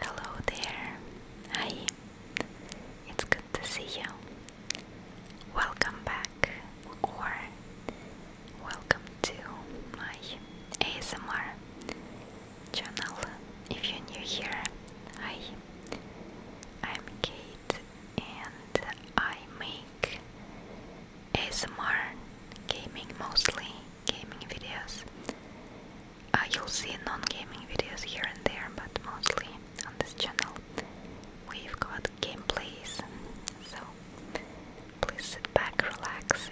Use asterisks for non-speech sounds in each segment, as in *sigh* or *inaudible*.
Hello there. Hi. It's good to see you. Welcome back or welcome to my ASMR channel. If you're new here, hi. I'm Kate and I make ASMR gaming mostly gaming videos uh, you'll see non-gaming videos here and there, but mostly on this channel we've got gameplays. So please sit back, relax,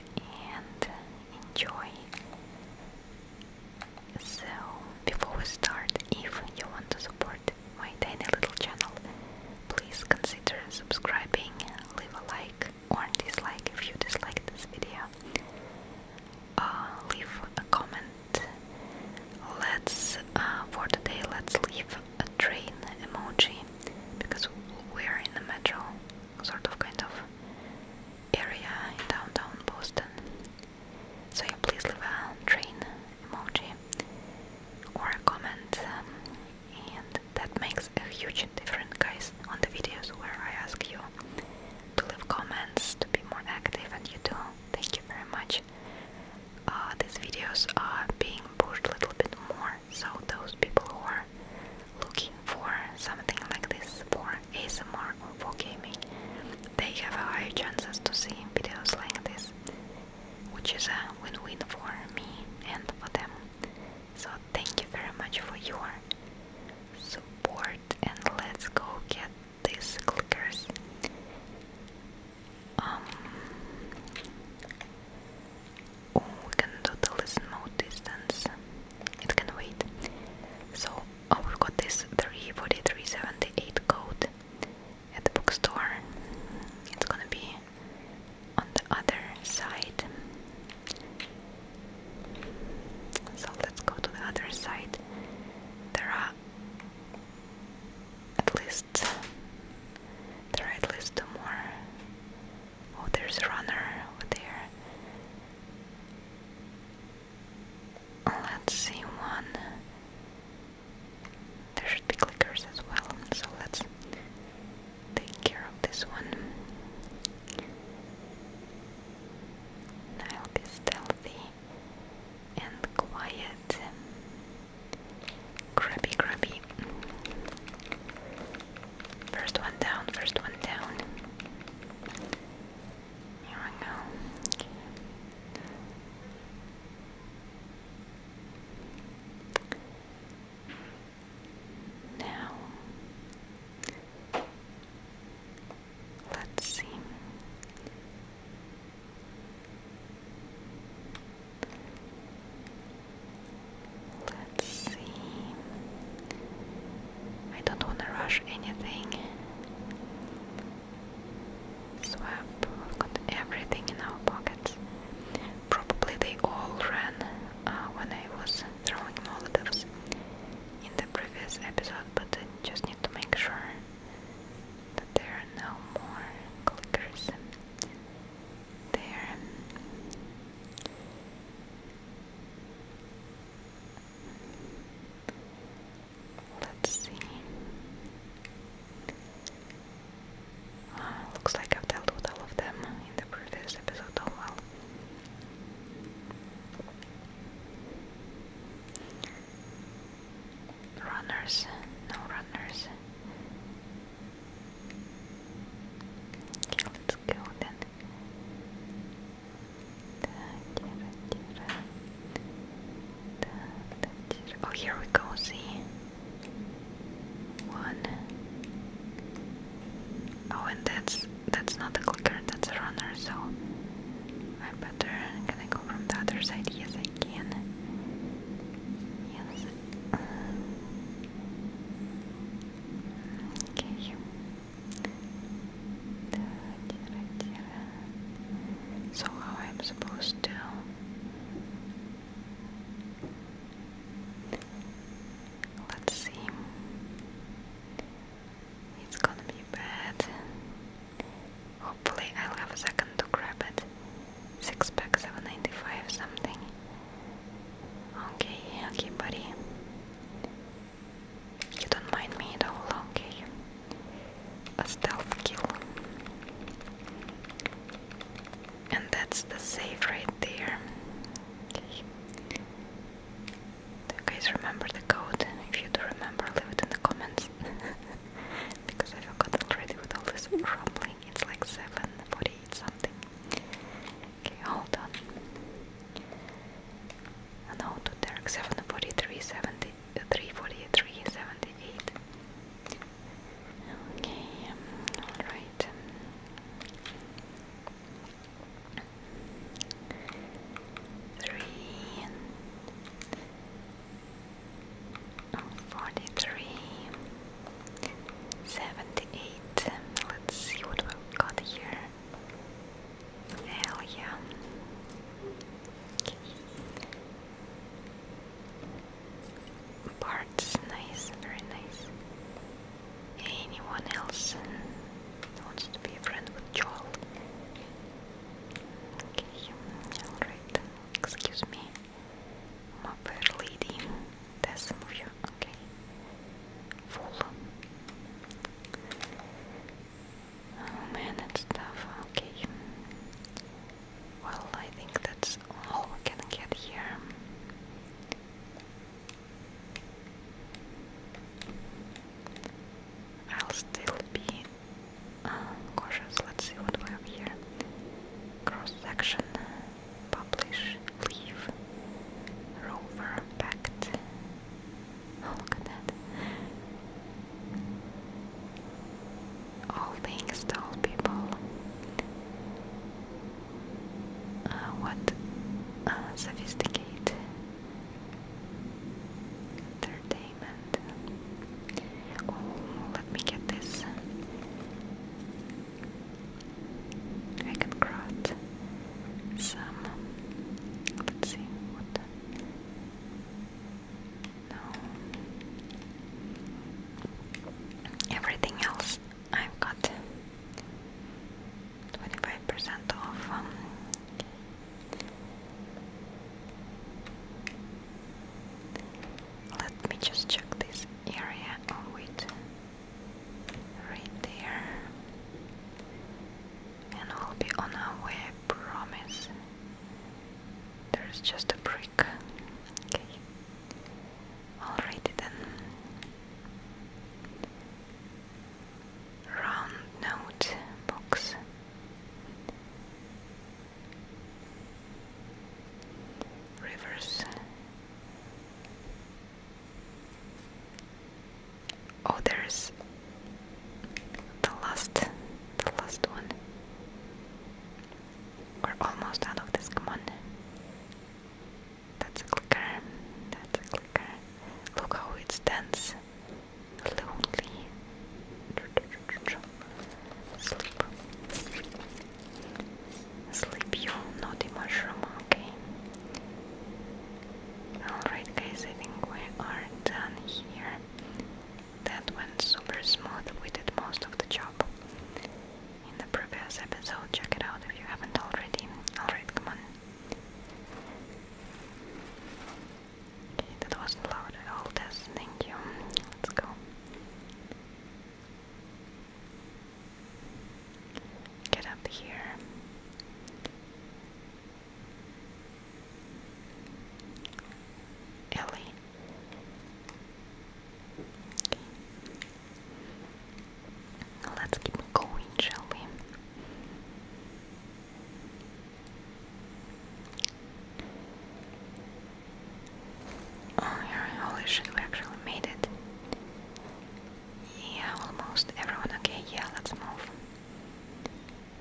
and enjoy. So before we start, if you want to support my tiny little channel, please consider subscribing, leave a like or dislike if you dislike this video. Uh, leave a comment. Let's uh, for today let's leave a train emoji because we're in the metro sort of kind of area in downtown Boston. So yeah, please leave a train emoji or a comment, um, and that makes a huge difference, guys, on the videos where I ask you to leave comments, to be more active, and you do. Thank you very much. Uh, these videos are being pushed a little bit more, so those people who are looking for something like this for ASMR or for gaming, they have a higher chances to see videos like this, which is a win-win for me and for them. So thank you very much for your support and let's go get these clickers. Um, oh, we can do the listen distance. It can wait. So oh, we got this 34378 code at the bookstore. It's gonna be on the other side. So let's go to the other side. There are at least there are at least two more. Oh, there's a runner over there. Let's see one. There should be clickers as well, so let's take care of this one. I'll be stealthy and quiet. Grubby, grabby. First one down, first one down. Here we go. Now Let's see. Let's see. I don't want to rush anything. So We've got everything in our pockets. Probably they all ran uh, when I was throwing Molotovs in the previous episode, but I just need to make sure that there are no more clickers there. Let's see. Uh, looks like I've dealt with all of them in the previous episode. Oh well. Runners, no runners. let's go then. Oh, here we go. See, one. Oh, and that's that's not a clicker, that's a runner, so I better can I go from the other side? Yes I can. Yes. Okay. So how I'm supposed to Let's see. It's gonna be bad. Hopefully I'll have a second to grab it. Six pack, 795 something. Okay, okay, buddy. You don't mind me at all, okay? A stealth kill. And that's the save right there. Do you guys remember the code? If you do remember, leave it in the comments. *laughs* because I forgot already with all this rumbling. It's like 748 something. Okay, hold on. Oh, no, to Derek 743, 70, uh, 343, 78. Okay, um, alright three forty three seventy eight. Let's see what we've got here. Hell yeah. Parts nice, very nice. Anyone else? He wants to be a friend with Joel. Okay, alright. Excuse me. My fair lady. There's some Okay. Full. Oh man, it's tough. Okay. Well, I think that's all we can get here. I'll still be uh, cautious. Let's see what we have here. Cross section, publish, leave, rover, packed. Oh, look at that. All things to people. Uh, what? Uh, Entertainment. Oh, let me get this. I can craft some. Let's see No. Everything else I've got. 25% off. Um, let me just check this area. Oh, wait. Right there. And we'll be on our way, I promise. There's just a brick. Okay. Alrighty then round note box. Rivers. Oh, there's the last, the last one. We're almost out of this. Come on. That's a clicker. That's a clicker. Look how it stands lonely sleep. Sleep you naughty mushroom, okay? Alright guys, I think we are done here. That went super smooth, we did most of the job in the previous episode. Check it out if you haven't already. Alright, come on. Okay, that wasn't loud at all, Tess. Thank you. Let's go. Get up here. Ellie. Let's keep going, shall we? Oh yeah, holy shit, we actually made it. Yeah, almost everyone okay, yeah, let's move.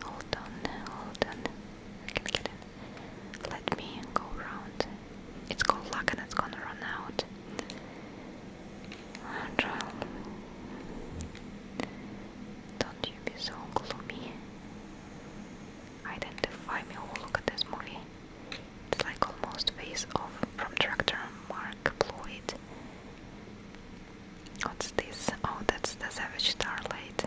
Hold on, hold on. Let me go around. It's called luck and it's gonna run out. Angel, don't you be so gloomy. Identify me. Oh, look at this movie. It's like almost face off from director Mark Ployd. What's this? Oh, that's the Savage Starlight.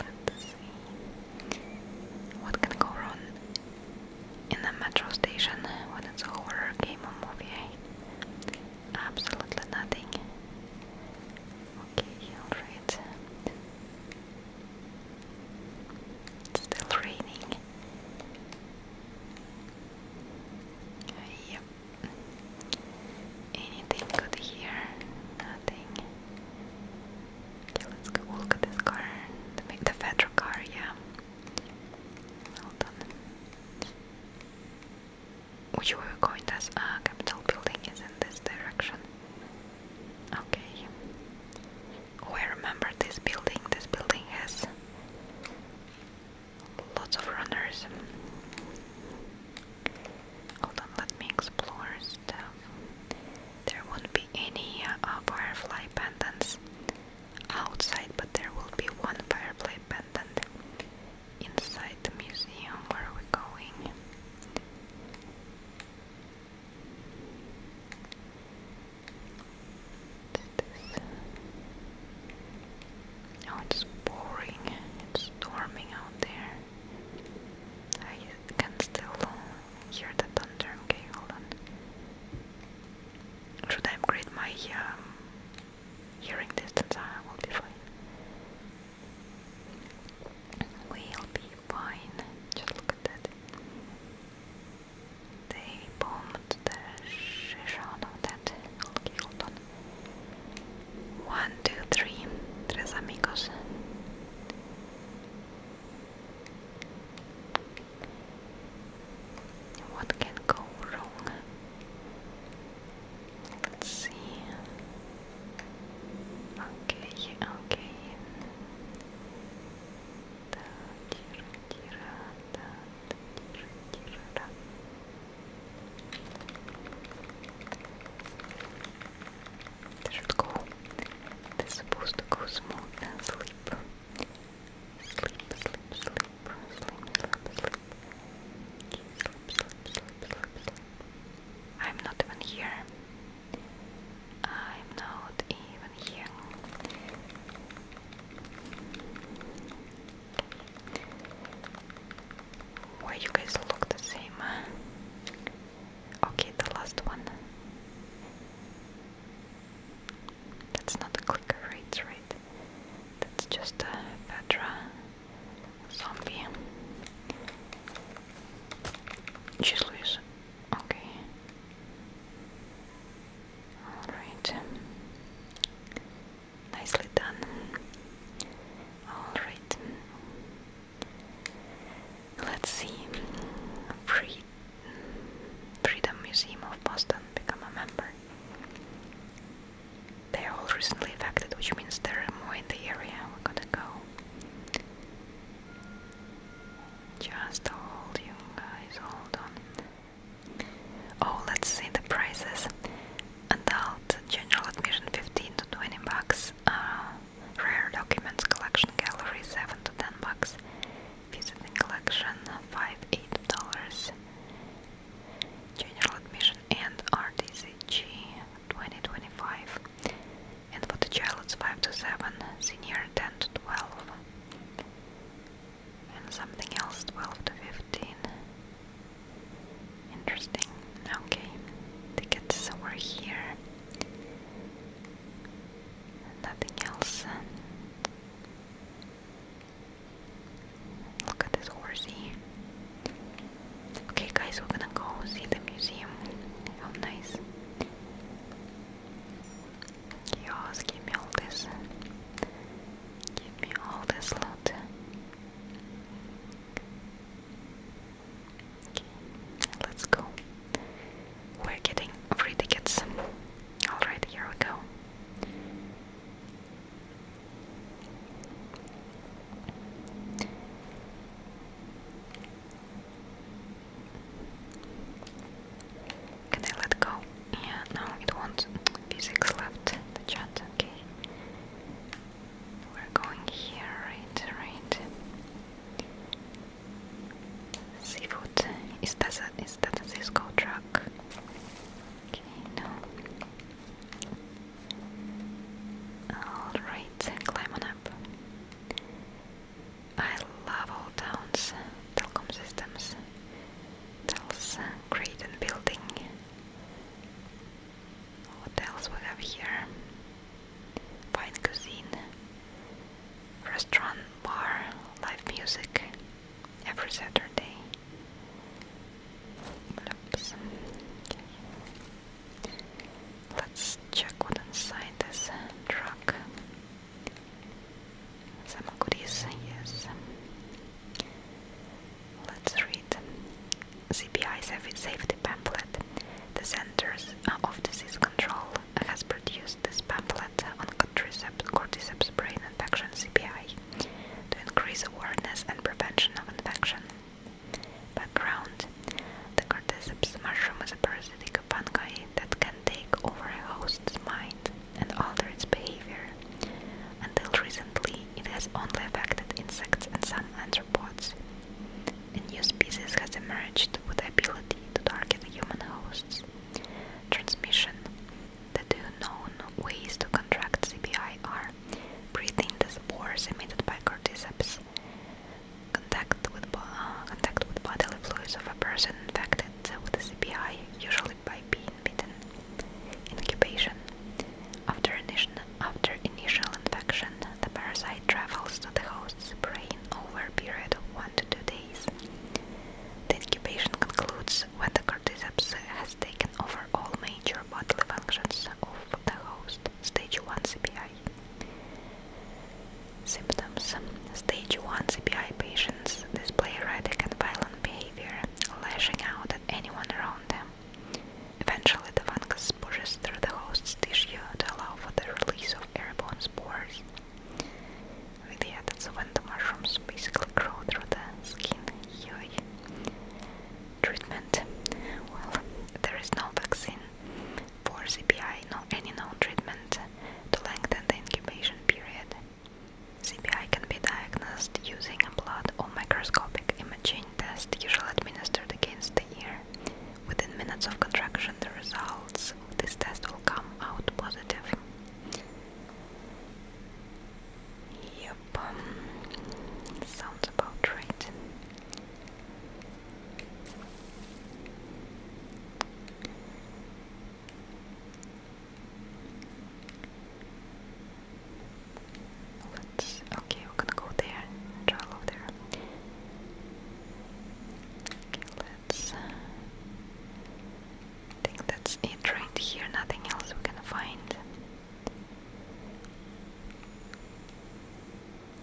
Okay. What can go wrong in a metro station when it's horror game movie? Absolutely nothing. Okay, alright. still raining. Yep. Anything good here? Nothing. Okay, let's go look at this car. Make the federal car, yeah. Hold on. Which way we going? That's uh, building is in this direction. Okay. Oh, I remember this building. This building has lots of runners. Hold on, let me explore There won't any uh, firefly pendants outside, but there will be one firefly pendant inside the museum where we're going. Oh, it's boring. It's storming out there. I can still hear the thunder. Okay, hold on. Should I upgrade my um, hearing distance? I ah, will be fine. We'll be fine. Just look at that. They bombed the shit that. Okay, hold on. One, two, three. Tres amigos. What can go wrong? Let's see. Okay, okay. Da, tira, tira, da, tira, tira, da. There should go it's supposed to go smooth and sleep. Sleep, I'm not even here. I'm not even here. Why you guys look the same? Okay, the last one. That's not a clicker, right? Right. That's just a Petra zombie. She's loose. Okay. Alright. Nicely done. Alright. Let's see. Free Freedom Museum of Boston become a member. They are all recently affected, which means they are more in the area. We're gonna go. Just hold you guys, hold on. Oh, let's see the prices. Adult general admission 15 to 20 bucks. Uh, Rare Documents Collection Gallery 7 to 10 bucks. Visiting Collection 5 8 dollars. General Admission and RDCG 2025. And for the child it's 5 to 7, senior 10 to 12. And something else 12 to 15. Interesting. Okay, tickets over here. Nothing else. Look at this horsey. Okay, guys, we're gonna go see the museum. How nice. Yes, give me all this. Give me all this loot. Okay, let's go. We're getting free tickets. Alright, here we go. Can I let go? Yeah, no, it won't. Physics left the chat, okay. We're going here, right, right. Seafood. Is that a, is that a Cisco truck? Okay, no. Alright, climb on up. I love all towns, telecom systems, tells uh, great and building. What else we have here? fine cuisine, restaurant, bar, live music every Saturday. Oops. Let's check what's inside this truck. Some goodies, yes. Let's read CBI safety pamphlet. The centers of disease Control has produced this pamphlet on cordyceps, cordyceps brain infection (CBI) to increase awareness and prevention of infection. Background: The cordyceps mushroom is a parasitic fungi that can take over a host's mind and alter its behavior. Until recently, it has only affected insects and some arthropods. A new species has emerged with the ability to target human hosts. Transmission The two known ways to contract CBI are breathing the spores emitted by corticeps, contact with, uh, contact with bodily fluids of a person infected with the CBI, usually by being bitten. Incubation After, initial, after initial infection, the parasite travels to the host's brain over a period of 1 to 2 days. The incubation concludes when the cordyceps has taken over all major bodily functions of the host. Stage 1 CPI. Symptoms Stage 1 CPI patients display erratic and violent behavior, lashing out at anyone around them. Eventually, the fungus pushes through the host's tissue to allow for the release of airborne spores with yeah, that's when the mushrooms basically grow through the skin. Treatment. Well, there is no vaccine for CPI, no any known treatment to lengthen the incubation period. CPI can be diagnosed using a blood or microscopic imaging test, usually administered against the ear. Within minutes of contraction, the results of this test will come out positive. Yep, sounds about right. Let's okay, we're gonna go there, draw over there. Uh, I think that's it right here, nothing else we can find.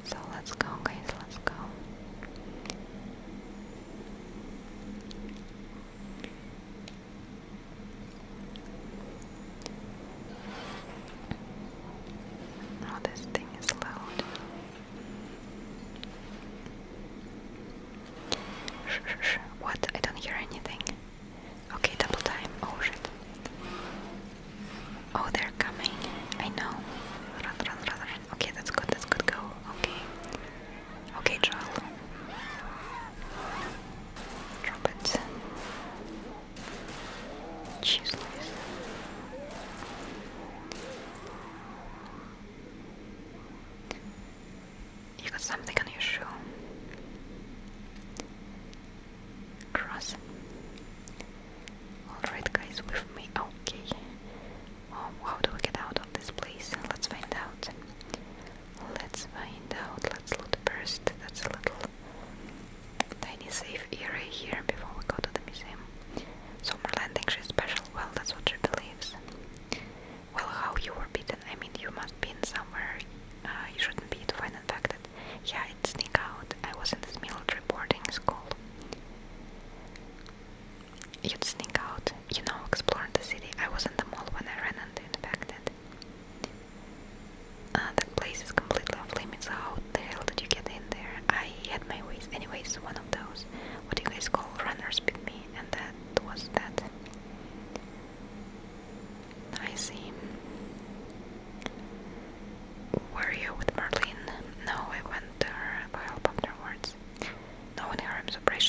So let's go guys, let's go. Oh, this thing is loud. Shh, shh, shh. What? I don't hear anything. Okay, double time. Oh shit. Oh, they're coming. I know. Okay, that's good. That's good. Go. Okay. Okay, Joel. Drop it. Jeez, Louise. You got something on your shoe. Cross. Alright, guys, with me. Okay. how do we get out of this place? Let's find out. Let's find out. Let's loot first. That's a little tiny safe area here before we go to the museum. Summerland thinks she's special, well, that's what she believes. Well, how you were beaten? I mean, you must be in somewhere uh, you shouldn't be to find infected. Yeah, it sneaked out. I was in this military boarding school. You'd sneak out, you know, exploring the city. I was in the mall when I ran into the infected. Uh, that place is completely off limits. How the hell did you get in there? I had my ways. Anyways, one of those what do you guys call runners beat me and that was that. I see. Were you with Marlene? No, I went to her for help afterwards. No one here, I'm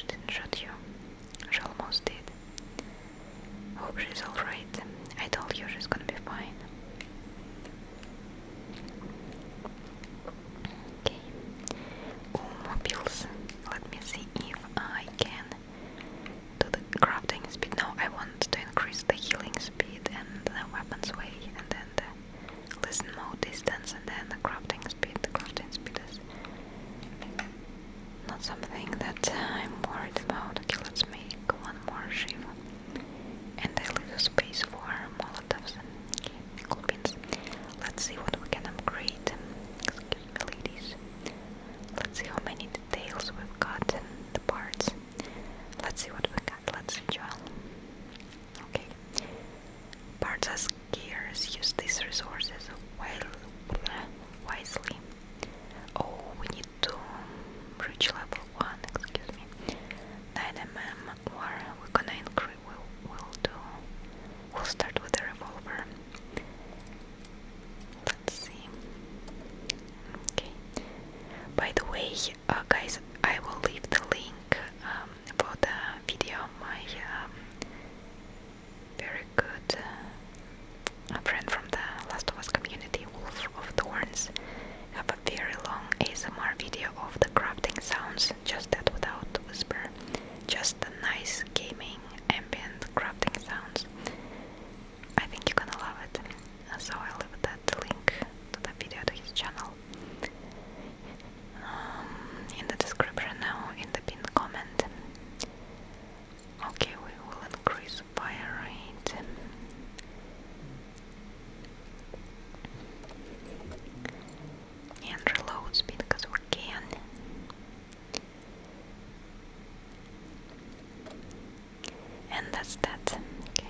didn't shoot you. She almost did. Hope she's alright. I told you she's gonna be fine. Okay. Let me see if I can do the crafting speed. No, I want to increase the healing speed and the weapons weight and then the listen distance and then the crafting speed. crafting speed is not something that I'm worried about. let's make one more shiv. And I leave space for molotovs. Let's see what we can upgrade. Excuse me, ladies. Let's see how many details we've got in the parts. Let's see what we got. Let's enjoy. Okay. Parts as gears use these resources wisely. Oh, we need to reach level one. Excuse me. 9 mm more. We're gonna increase we'll do. We'll start with the revolver. Let's see. Okay. By the way, uh, guys, I will leave the link um, for the video. My um, very good uh, friend from the Last of Us community, Wolf of Thorns, very long ASMR video of the crafting sounds, just that without whisper, just the nice gaming ambient crafting sounds. I think you're gonna love it. Uh, so I'll leave that link to the video to his channel um, in the description now in the pinned comment. Okay, we will increase fire rate and reload speed because we can. And that's that. Okay.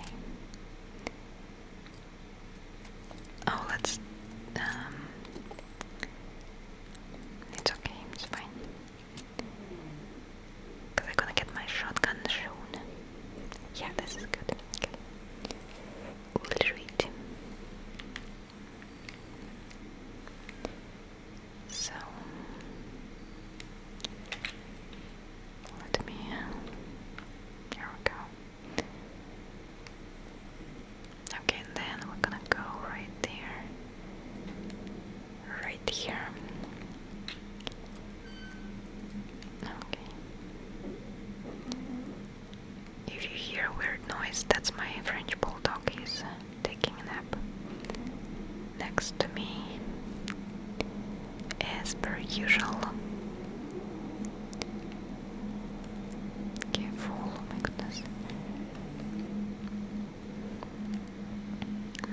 Oh, let's. Um, it's okay, it's fine. Because I'm gonna get my shotgun soon. Yeah, this is good. Okay. Ulrich. So let me here we go. Okay, then we're gonna go right there, right here. Okay. If you hear a weird noise, that's my French bulldog. He's taking a nap next to me, as per usual. Careful, oh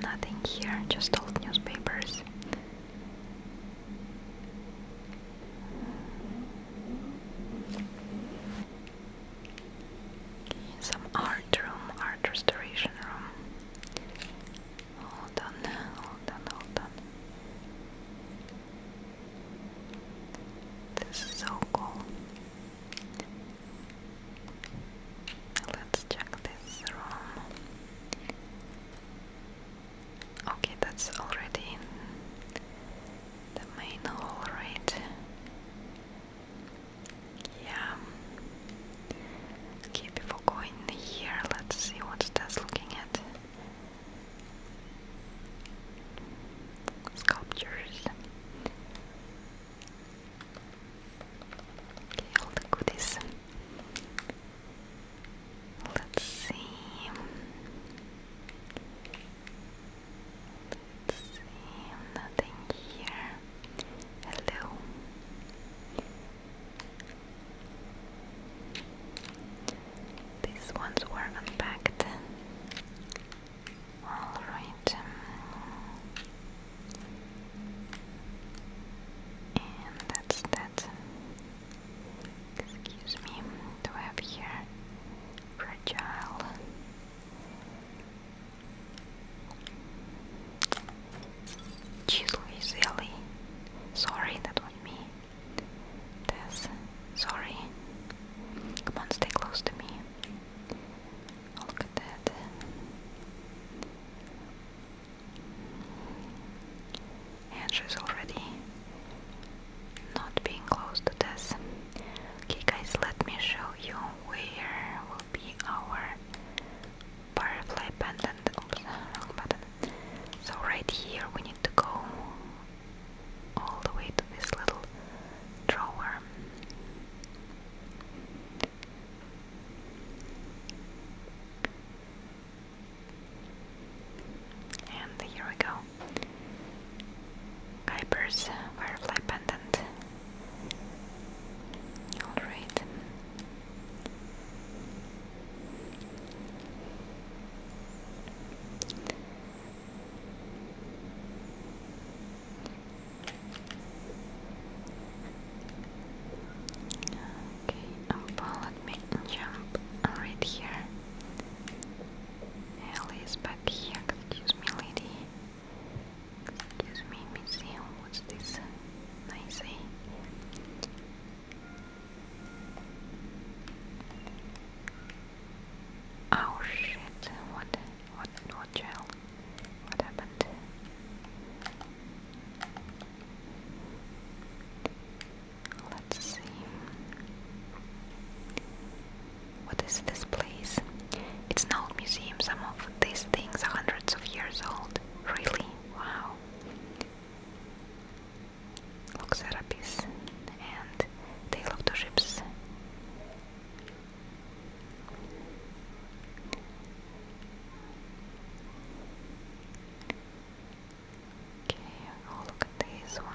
Nothing here, just old newspapers. Some art room, art restoration room. Hold on, hold on, hold on. This is so cool. Let's check this room. Okay, that's already in the main hall, right? Yeah. Okay, before going here, let's see what's that's looking at. Sculptures. Okay, all the goodies. Let's see. Nothing here. Hello. These ones were unpacked. All right. Um, and that's that. Excuse me, do I have here fragile? Chisel is Sorry, that was me. This, sorry. Come on, stay close to me. Oh, look at that and she's already not being close to this. Okay guys, let me show you where will be our butterfly pendant. So right here we need to go all the way to this little drawer. And here we go. Kuiper's Firefly Pendant. Alright. Okay, um, me jump right here. Alice back here, excuse me lady. Excuse me, museum, what's this? Nice eh? Oh shit, what what what gel? What happened? Let's see. What is this place? It's an old museum. Some of these things are hundreds of years old. Really? Wow. Look, Serapis and Tale of the Ships. Okay, oh look at this one.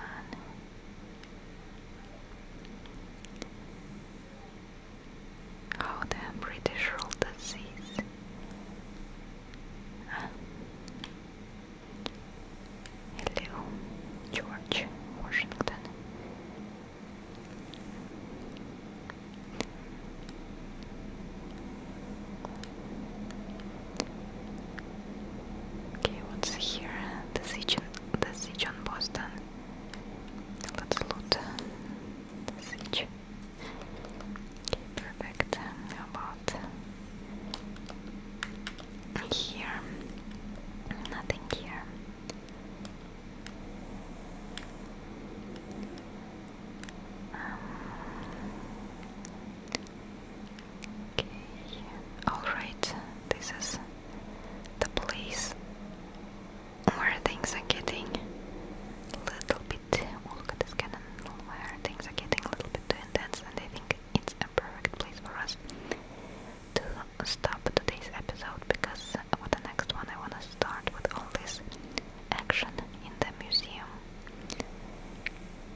Oh, the British rule disease. Ah. Hello, George Washington. Okay, what's here? The siege, the siege on Boston. Let's loot the siege. Okay, perfect. How about here? Nothing here. Um, Okay. Alright, this is the place where things are getting a little bit. Oh, look Where things are getting a little bit too intense, and I think it's a perfect place for us to stop today's episode because for the next one, I want to start with all this action in the museum.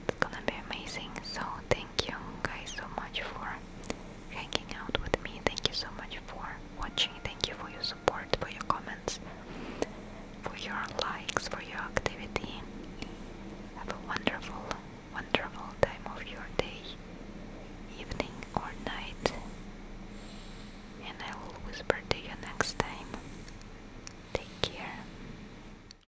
It's gonna be amazing. So, thank you guys so much for hanging out with me. Thank you so much for watching. Thank you for your support, for your comments, for your likes, for your activity. Have a wonderful, wonderful time of your day, evening, or night. And I will whisper to you next time. Take care.